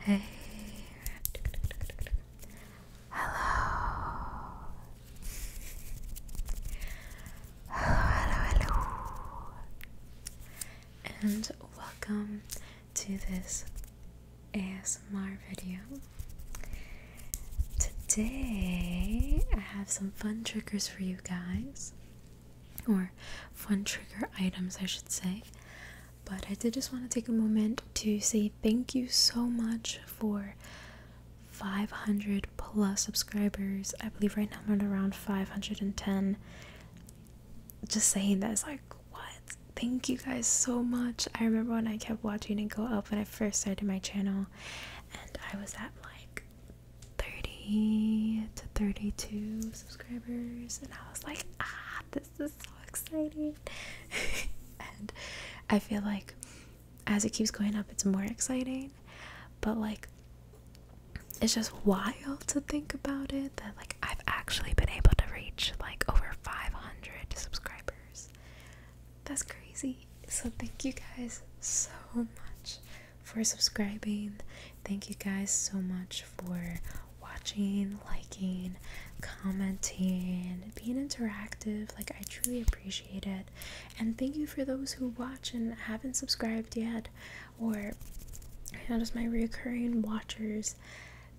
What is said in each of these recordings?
Hey. Hello. Hello, hello, And welcome to this ASMR ASMR video. Today I have some fun triggers for you guys, or fun trigger items, I should say. But I did just want to take a moment to say thank you so much for 500 plus subscribers. I believe right now we're at around 510. Just saying that is like, what? Thank you guys so much. I remember when I kept watching it go up when I first started my channel, and I was at like 30 to 32 subscribers, and I was like, ah, this is so exciting. and I feel like as it keeps going up, it's more exciting, but like it's just wild to think about it that like I've actually been able to reach like over 500 subscribers that's crazy. So, thank you guys so much for subscribing. Thank you guys so much for watching, liking, commenting, being interactive. Like, I truly appreciate it. And thank you for those who watch and haven't subscribed yet, or I notice my recurring watchers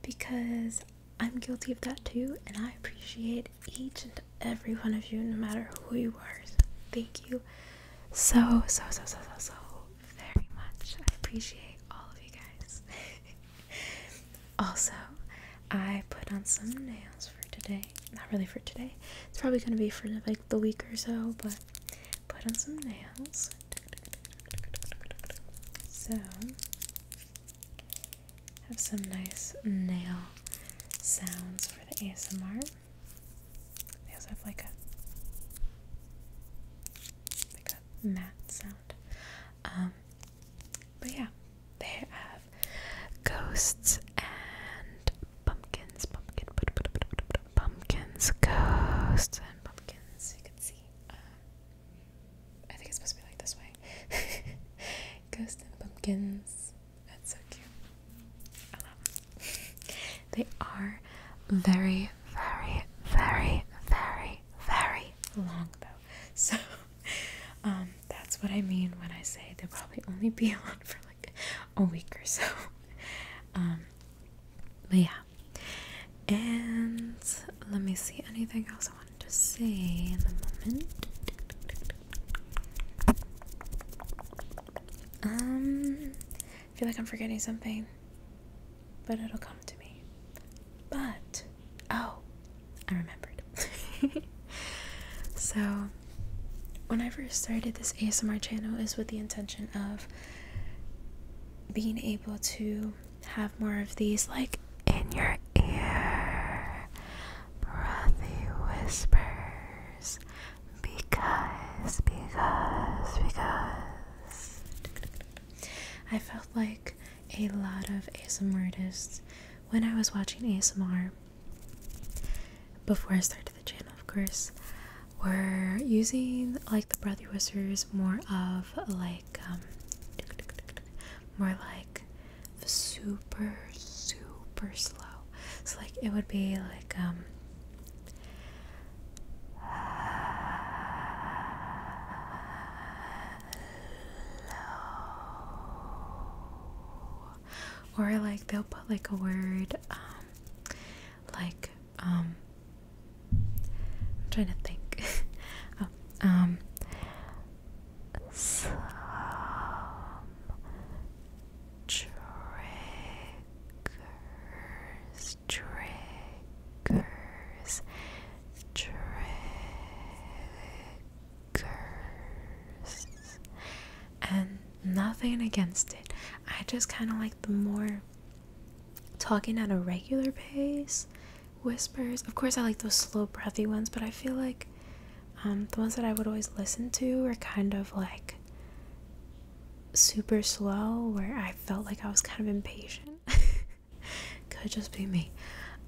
because I'm guilty of that too, and I appreciate each and every one of you, no matter who you are. thank you so, so, so, so, so very much. I appreciate all of you guys. also, I put on some nails for today. Not really for today. It's probably going to be for like the week or so, but put on some nails. So, have some nice nail sounds for the ASMR. They also have like a like a matte sound. Um, but yeah, they have ghosts and pumpkins, Pumpkins, pumpkins, ghosts and pumpkins. You can see. Uh, I think it's supposed to be like this way. ghosts and pumpkins. That's so cute. they are very, very, very, very, very long though. So um, that's what I mean when I say they'll probably only be on for like a week or so. Um, but yeah. And let me see anything else I wanted just say in a moment. Um, I feel like I'm forgetting something, but it'll come to me. But, oh, I remembered. so, when I first started this ASMR channel, is with the intention of being able to have more of these, like, in your ear breathy whispers because, because, because I felt like a lot of ASMR artists when I was watching ASMR before I started the channel, of course, were using like the breathy whispers more of like, um, more like super, super slow. So, like, it would be like, um, hello. Or, like, they'll put like a word, um, like, um, I'm trying to think. Oh, um, some triggers, triggers, triggers, and nothing against it. I just kind of like the more talking at a regular pace whispers. Of course, I like those slow, breathy ones, but I feel like um, the ones that I would always listen to were kind of like super slow, where I felt like I was kind of impatient. Could just be me.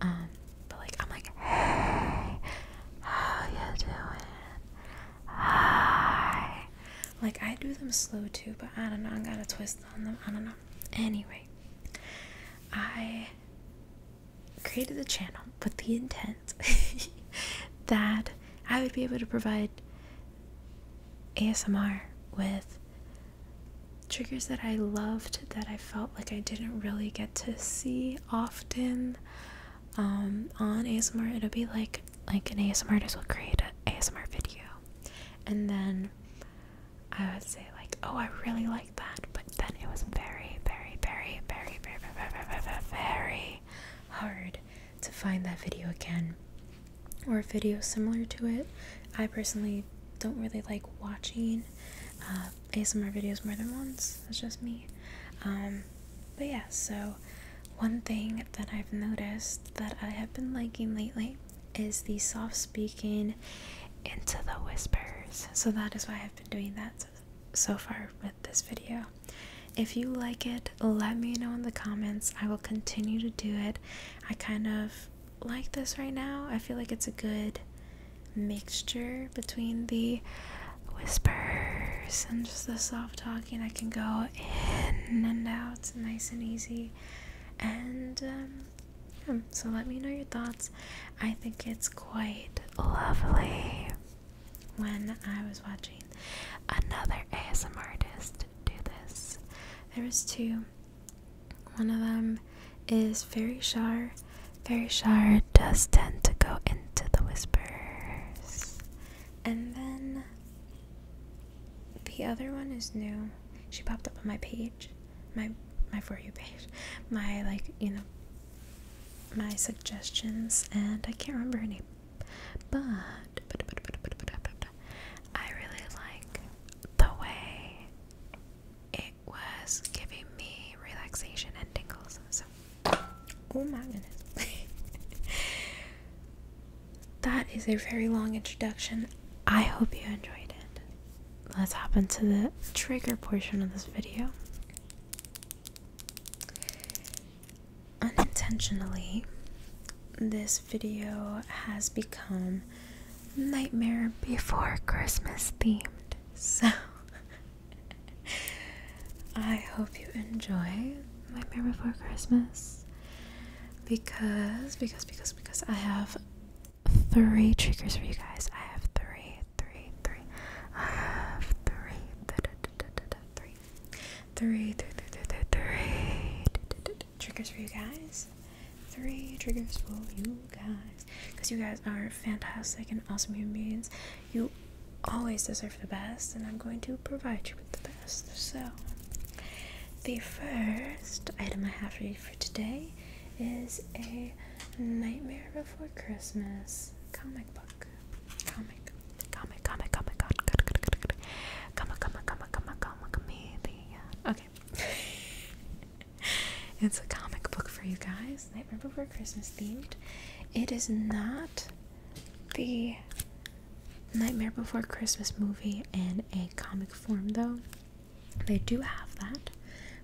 Um, but like I'm like, how you doing? Hi. Like I do them slow too, but I don't know. I got a twist on them. I don't know. Anyway, I created the channel with the intent that I would be able to provide ASMR with triggers that I loved that I felt like I didn't really get to see often um, on ASMR. It'll be like like an ASMR artist will create an ASMR video, and then I would say like, oh, I really like like that, but then it was very, very, very, very, very, very, very, very, very hard to find that video again or a video similar to it. I personally don't really like watching uh, ASMR videos more than once. That's just me. Um, but yeah, so one thing that I've noticed that I have been liking lately is the soft speaking into the whispers. So that is why I've been doing that so far with this video. If you like it, let me know in the comments. I will continue to do it. I kind of like this right now. I feel like it's a good mixture between the whispers and just the soft talking. I can go in and out, it's nice and easy. And um, so let me know your thoughts. I think it's quite lovely when I was watching another ASMR artist do this. There was two. One of them is Fairy Shar. Fairy Shar does tend to go into the whispers. And then the other one is new. She popped up on my page. My my for you page. My like, you know, my suggestions, and I can't remember any, But, but I really like the way it was giving me relaxation and tingles. So, oh my goodness. that is a very long introduction. I hope you enjoyed it. Let's hop into the trigger portion of this video. Unintentionally, this video has become Nightmare Before Christmas themed. So, I hope you enjoy Nightmare Before Christmas because, because, because, because I have three triggers for you guys. I have three three, three. I have three, three, three, three, three, three. Triggers for you guys. Three triggers for you guys, because you guys are fantastic and awesome human beings. You always deserve the best, and I'm going to provide you with the best. So, the first item I have for you for today is a Nightmare Before Christmas comic book book. Comic. Comic, comic, comic, comic, comic, comic, comic, comic, comic, comic, Okay. it's a comic book for you guys. Nightmare Before Christmas themed. It is not the Nightmare Before Christmas movie in a comic form, though. They do have that,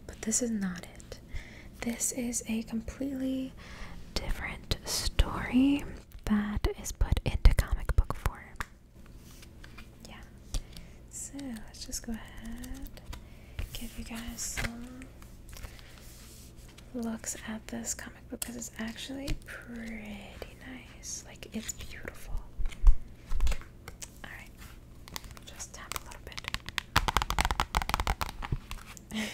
but this is not it. This is a completely different story that is put into comic book form. Yeah. So let's just go ahead give you guys some looks at this comic book because it's actually pretty nice. Like it's beautiful. Alright. Just tap a little bit.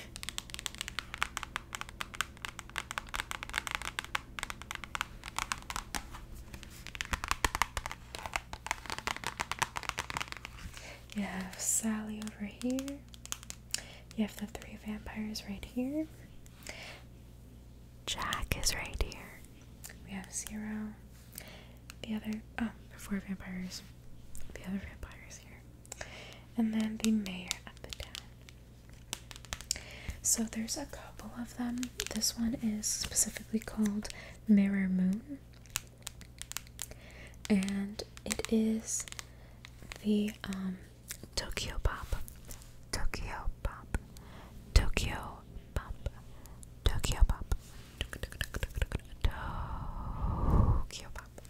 You have Sally over here. You have the three vampires right here. Jack is right here. We have zero. The other, um, four vampires. The other vampires here and then the mayor of the town. So there's a couple of them. This one is specifically called Mirror Moon, and it is the Tokyo Pop, Tokyo Pop, Tokyo Pop, Tokyo Pop, Tokyo Pop.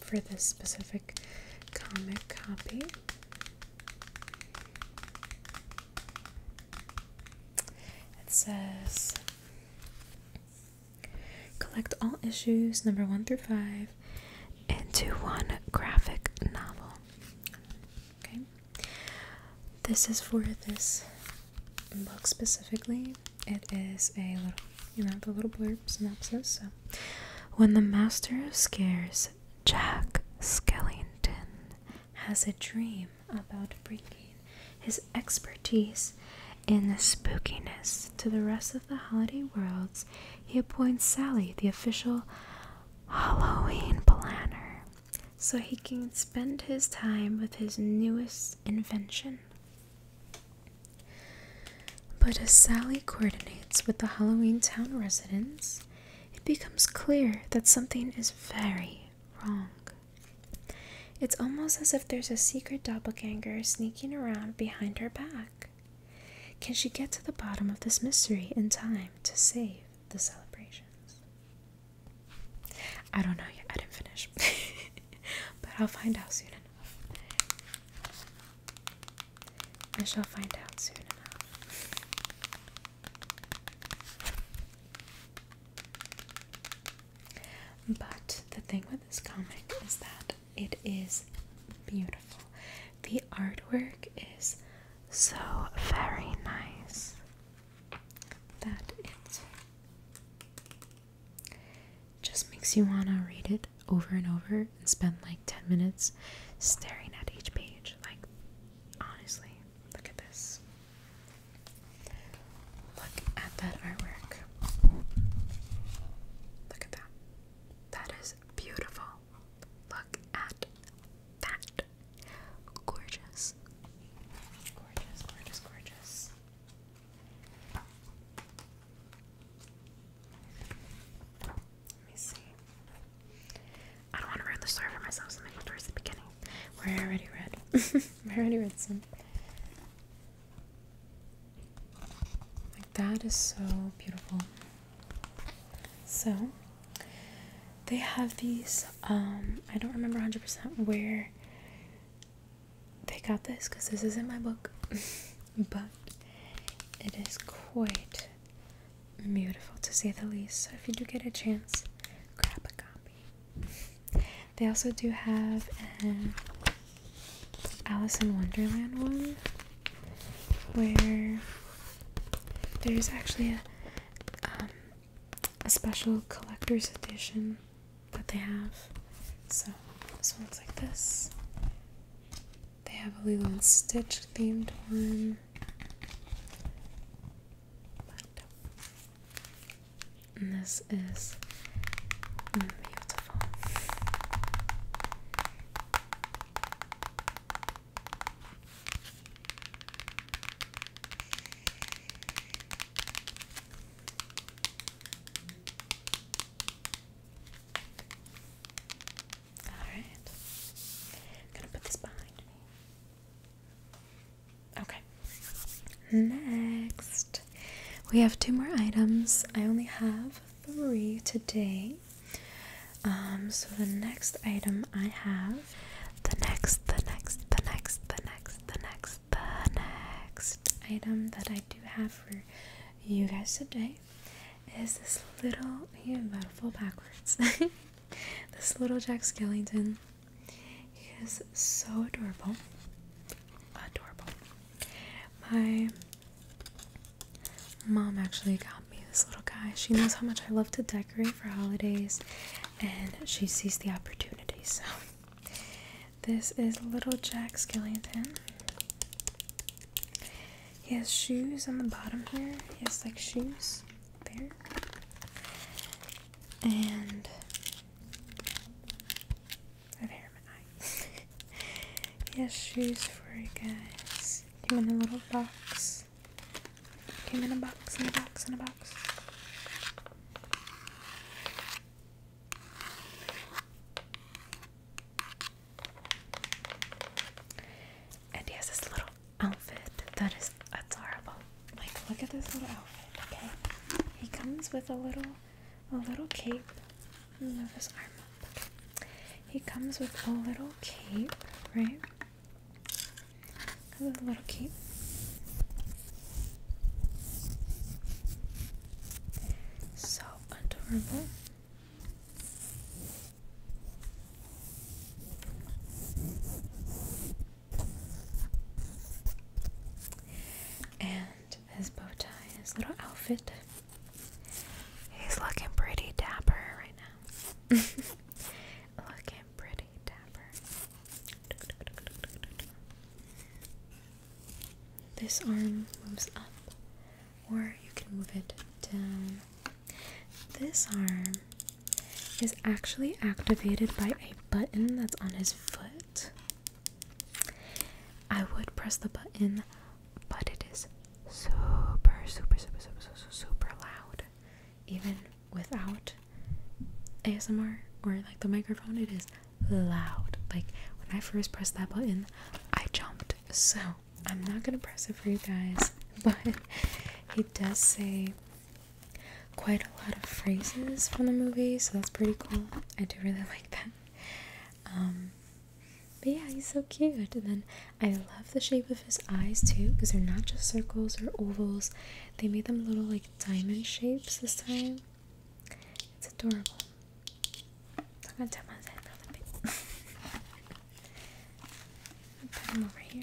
for this specific comic copy. It says collect all issues number 1 through 5 into one graphic novel. Okay. This is for this book specifically. It is a little, you know, the little blurb synopsis, so when the master of scares, Jack Skellington, has a dream about bringing his expertise in the spookiness to the rest of the holiday worlds, he appoints Sally the official Halloween planner so he can spend his time with his newest invention. But as Sally coordinates with the Halloween Town residents, it becomes clear that something is very wrong. It's almost as if there's a secret doubleganger sneaking around behind her back. Can she get to the bottom of this mystery in time to save the celebrations? I don't know yet, I didn't finish. but I'll find out soon enough. I shall find out soon enough. But the thing with this comic is that it is beautiful. The artwork is so very nice that it just makes you want to read it over and over and spend like 10 minutes staring at each page. Like, honestly, look at this. Look at that artwork. Look at that. That is beautiful. Look at that. Gorgeous. Gorgeous, gorgeous, gorgeous. Let me see. I don't want to ruin the story for myself, so i towards the beginning. Where I already read. I already read some. that is so beautiful. So, they have these, um, I don't remember 100% where they got this because this isn't my book. but it is quite beautiful to say the least. So if you do get a chance, grab a copy. They also do have an Alice in Wonderland one where there's actually a um, a special collector's edition that they have. So this one looks like this. They have a Lilo Stitch themed one. And this is beautiful. Alright. gonna put this behind me. Okay. Next, we have two more items. I only have three today. Um, so the next item I have, the next, the next, the next, the next, the next, the next item that I do have for you guys today is this little I am about to fall backwards. this little Jack Skellington. He is so adorable. Adorable. My mom actually got me this little guy. She knows how much I love to decorate for holidays and she sees the opportunity, so this is little Jack Skellington. He has shoes on the bottom here. He has like shoes there. And have hair in my he has shoes for you guys. Came in a little box. Came in a box, in a box, in a box. And he has this little outfit that is that's horrible. Like look at this little outfit, okay? He comes with a little a little cape. Move his arm up. He comes with a little cape, right? a little cape. So adorable. And his bow tie, his little outfit. He's looking pretty dapper right now. looking pretty dapper. This arm moves up, or you can move it down. This arm is actually activated by a button that's on his foot. I would press the button, but it is super, super, super, super, super, super loud. Even without ASMR or like the microphone, it is loud. Like when I first pressed that button, I jumped. So I'm not gonna press it for you guys, but he does say quite a lot of phrases from the movie, so that's pretty cool. I do really like that. Um, but yeah, he's so cute. And then I love the shape of his eyes too, because they're not just circles or ovals. They made them little like diamond shapes this time. It's adorable. Put him over here.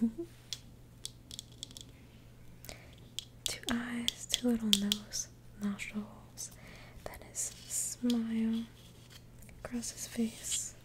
two eyes, two little nose, nostrils, then his smile across his face.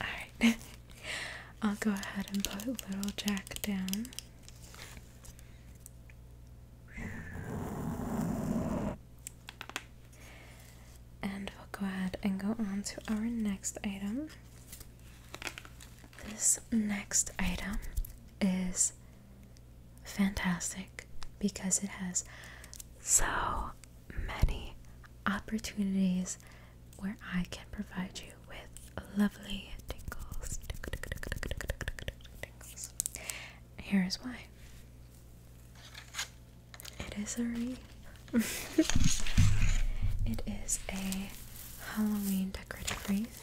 Alright, I'll go ahead and put little Jack down. And we'll go ahead and go on to our next item. This next item is fantastic because it has so many opportunities where I can provide you with lovely tingles. Here is why it is a wreath. it is a Halloween decorative wreath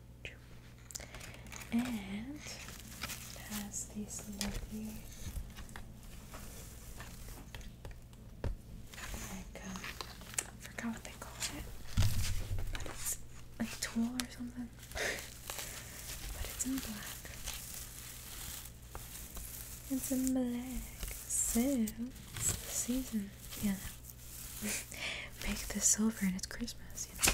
And it has these lovely like um, I forgot what they call it, but it's like tulle or something. but it's in black. It's in black. So it's the season. Yeah, make this silver and it's Christmas, you know.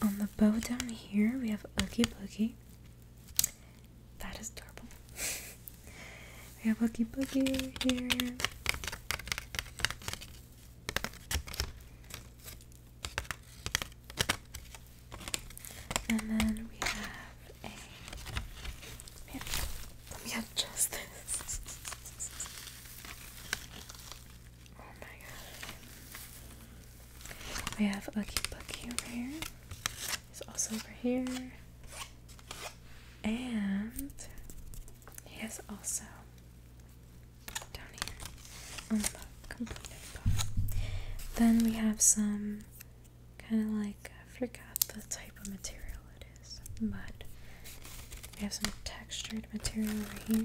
On the bow down here, we have Ookie Boogie. That is adorable. we have Ookie Boogie here. And then we have a. Man, let me this. Oh my god. We have Ookie Bookie over here. He's also over here. And he is also down here on the complete Then we have some kind of like I forgot the type of material it is, but we have some textured material over here.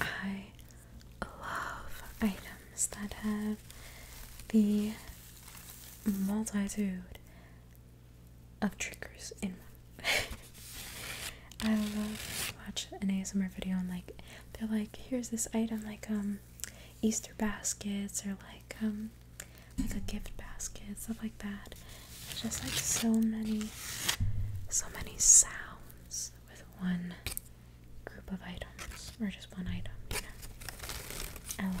I love items that have the multitude of triggers in one. I love watch an ASMR video and like they're like, here's this item, like um Easter baskets or like um, like a gift basket, stuff like that. just like so many, so many sounds with one group of items or just one item, you know. LOL.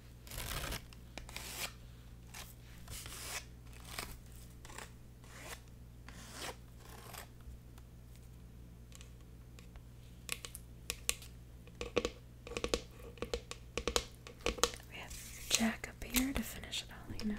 We have Jack up here to finish it all, you know.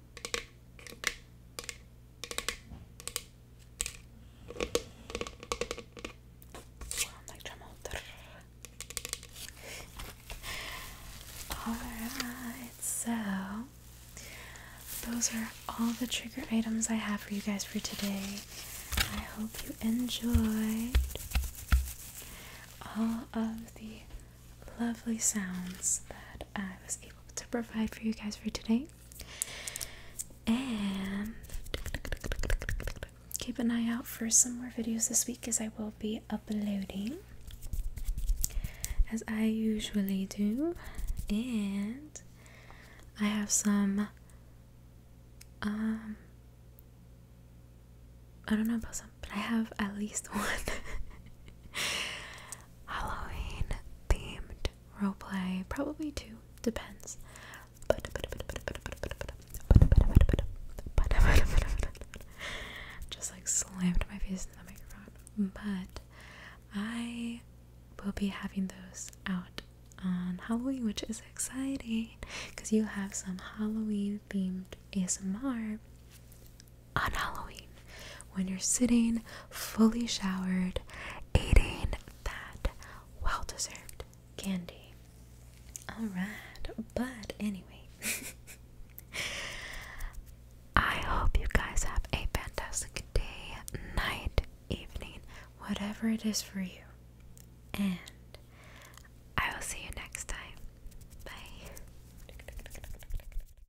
Alright, so those are all the trigger items I have for you guys for today. I hope you enjoyed all of the lovely sounds that I was able to provide for you guys for today. And keep an eye out for some more videos this week as I will be uploading as I usually do. And I have some um I don't know about some, but I have at least one Halloween themed roleplay. Probably two, depends. Just like slammed my face into the microphone. But I will be having those out on Halloween, which is exciting because you have some Halloween themed ASMR on Halloween when you're sitting fully showered, eating that well deserved candy. Alright, but anyway, I hope you guys have a fantastic day, night, evening, whatever it is for you. And I will see you next time. Bye.